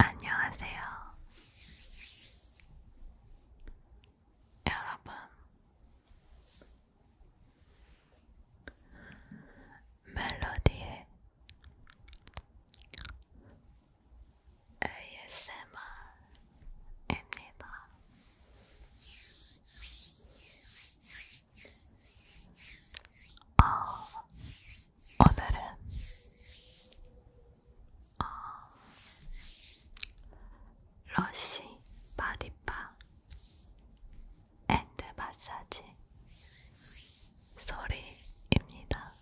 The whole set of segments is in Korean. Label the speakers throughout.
Speaker 1: 안녕하세요. 여러분, 멜로디의 ASMR입니다. 어, 오늘은 어, 러쉬 바디바 앤드 마사지 소리입니다.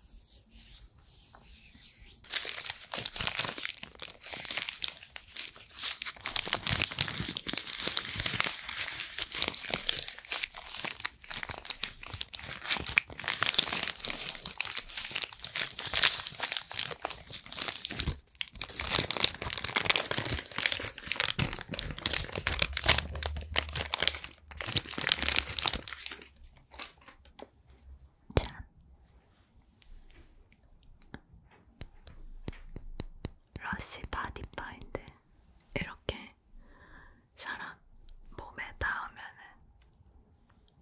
Speaker 1: 짠 러쉬 바디 파인데 이렇게 사람 몸에 닿으면은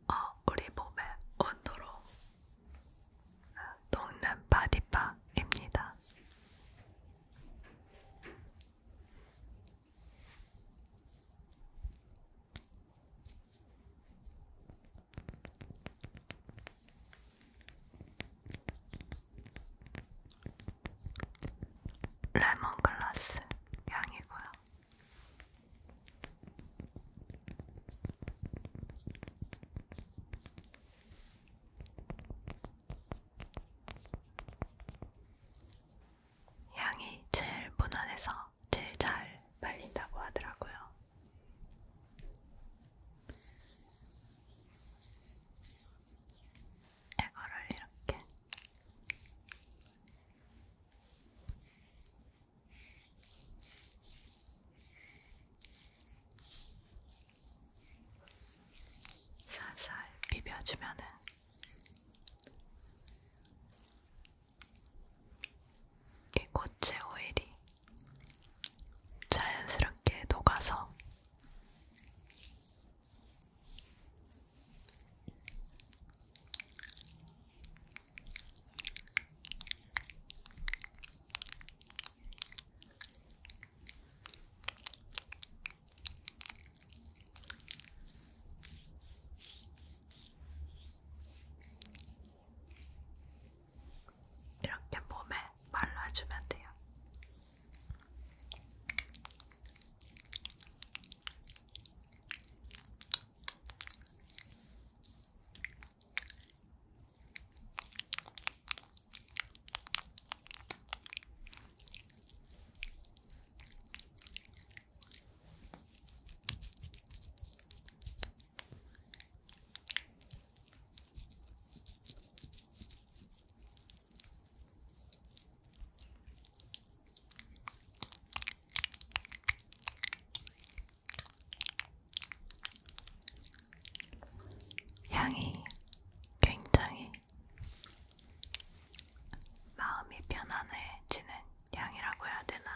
Speaker 1: 어, 우리 몸에 온도로 녹는 바디바입니다. 레몬글라스 향이고요. 향이 제일 무난해서 제일 잘 발린다고 하더라고요. 이거를 이렇게 살살 비벼주면은 이 고체 오일이 자연스럽게 녹아서 이렇게 몸에 말라주면 돼요. 향이 굉장히 마음이 편안해지는 향이라고 해야 되나?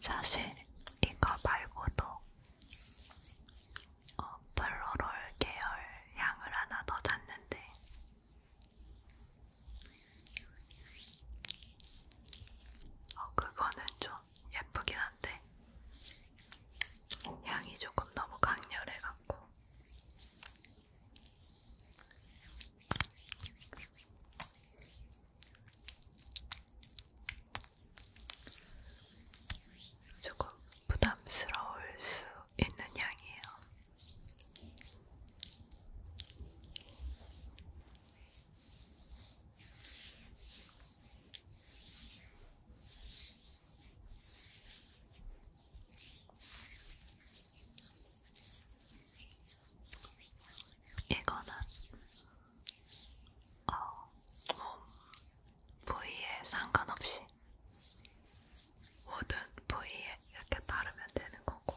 Speaker 1: 사실 이거 말고도 어, 플로럴 계열 향을 하나 더 샀는데 어, 그거는 좀 예쁘긴 한데 향이 조금 너무 강렬해갖고 조금 부담스러울 수 있는 향이에요. 이거는 어, 몸 부위에 상관없이 모든 부위에 이렇게 바르면 되는 거고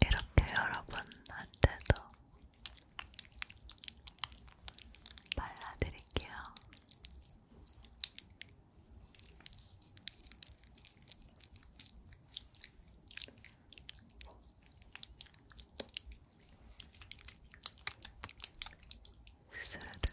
Speaker 1: 이렇게 여러분한테도 발라드릴게요. 스르르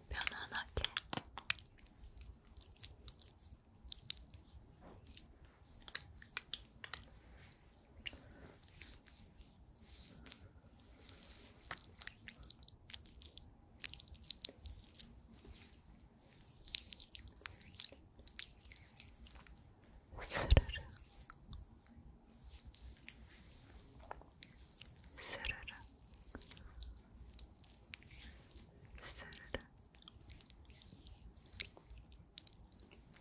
Speaker 1: 편안하게 스르르 스르르 스르르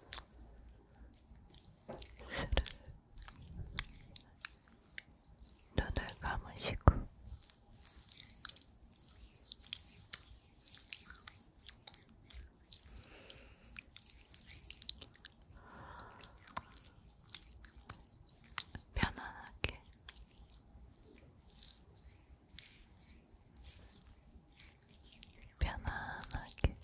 Speaker 1: 스르르 눈을 감으시고 편안하게 편안하게 여러분 편안하게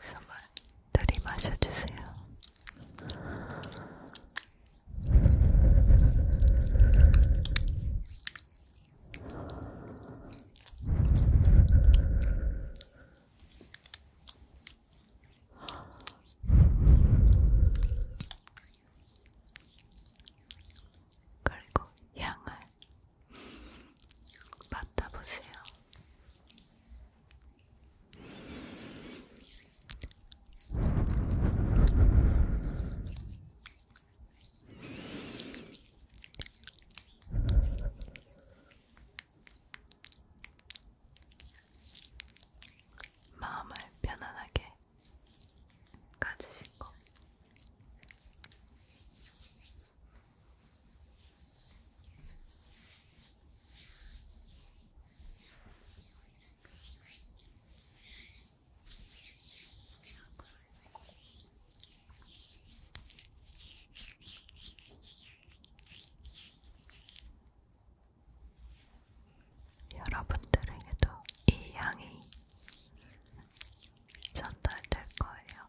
Speaker 1: 숨을 들이마셔 주세요. 그리고 향을 맡아보세요. 마음을 편안하게 가지시고 여러분들에게도 이 향이 전달될 거예요.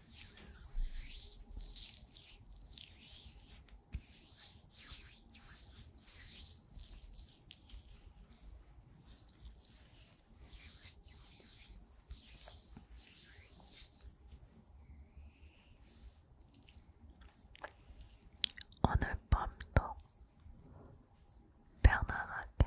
Speaker 1: 오늘 밤도 편안하게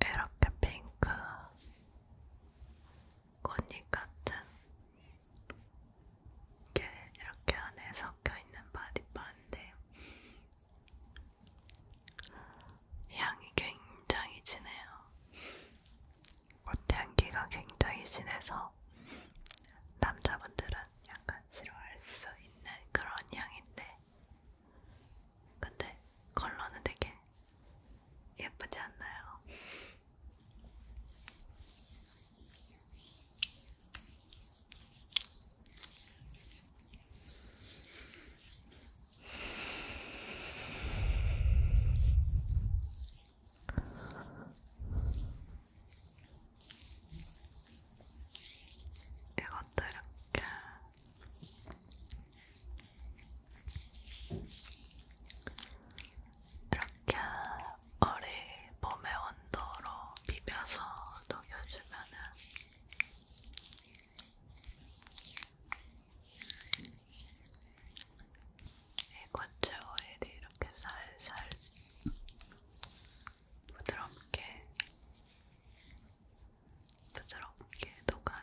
Speaker 1: 이렇게 핑크 꽃잎 같은 이렇게, 이렇게 안에 섞여있는 바디바인데 향이 굉장히 진해요. 꽃향기가 굉장히 진해서 남자분들은 약간 싫어할 수 있는 그런 향인데 근데 컬러는 되게 예쁘지 않나요? 이것도 이렇게 이렇게 어리 몸의 온도로 비벼서 녹여주면은 이 고체 오일이 이렇게 살살 부드럽게 부드럽게 녹아요.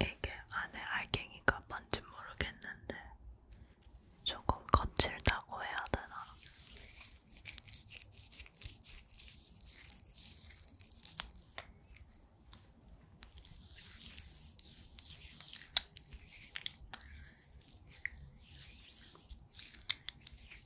Speaker 1: 이게 안에 알갱이가 뭔지 모르겠는데 조금 거칠다고 해야 되나?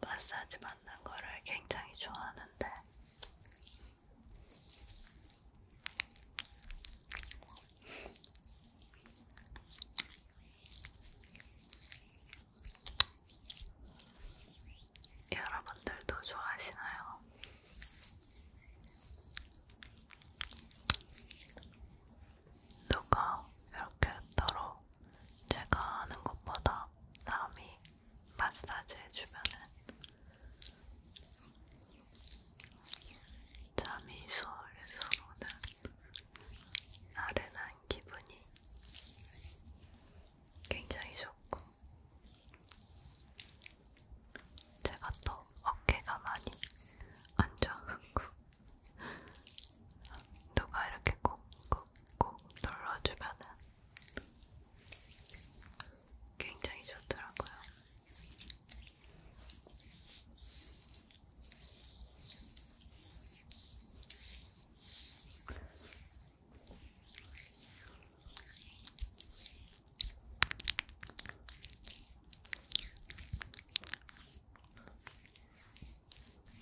Speaker 1: 마사지 받는 거를 굉장히 좋아하는데 여러분들도 좋아하시나요? 누가 이렇게 따로 제가 하는 것보다 남이 마사지 해주면은 잠이 솔솔 오는 나른한 기분이 굉장히 좋고 제가 또 어깨가 많이 안 좋아가지고 누가 이렇게 꾹꾹 꼭 눌러주면 굉장히 좋더라고요.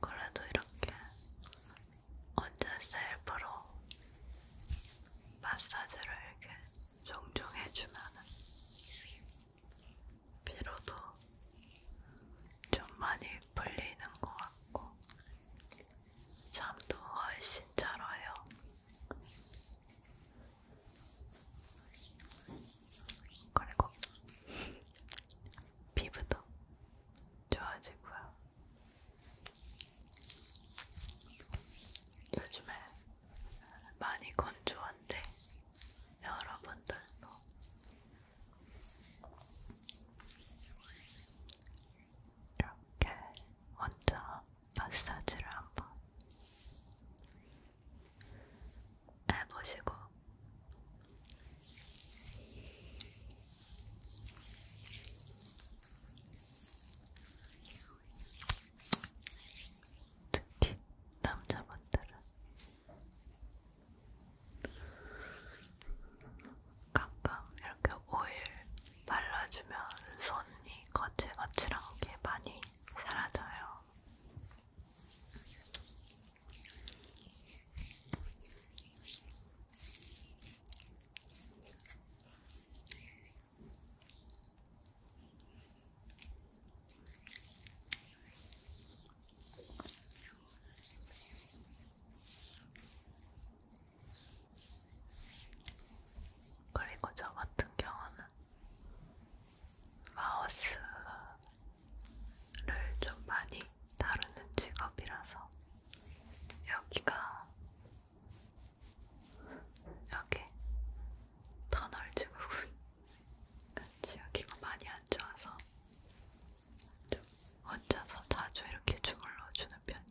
Speaker 1: 그래도 이렇게 언제 셀프로 마사지를 이렇게 종종 해주면은 피로도 좀 많이 풀리는 것 같고 잠도 훨씬 잘 와요. 그리고 피부도 좋아지고요. 요즘에 많이 건조한데 여러분들도 이렇게 먼저 마사지를 한번 해보시고 특히 남자분들은 가끔 이렇게 오일 발라주면 손이 거칠거칠한 게 많이 사라져요. 그리고 저 같은 경우는 마우스를 좀 많이 다루는 직업이라서 여기가 여기 터널 증후군 지역이가 많이 안 좋아서 좀 혼자서 자주 이렇게 주물러 주는 편이에요.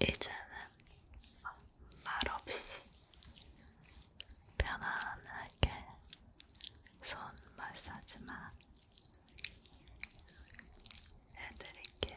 Speaker 1: 이제는 말없이 편안하게 손 마사지만 해드릴게요.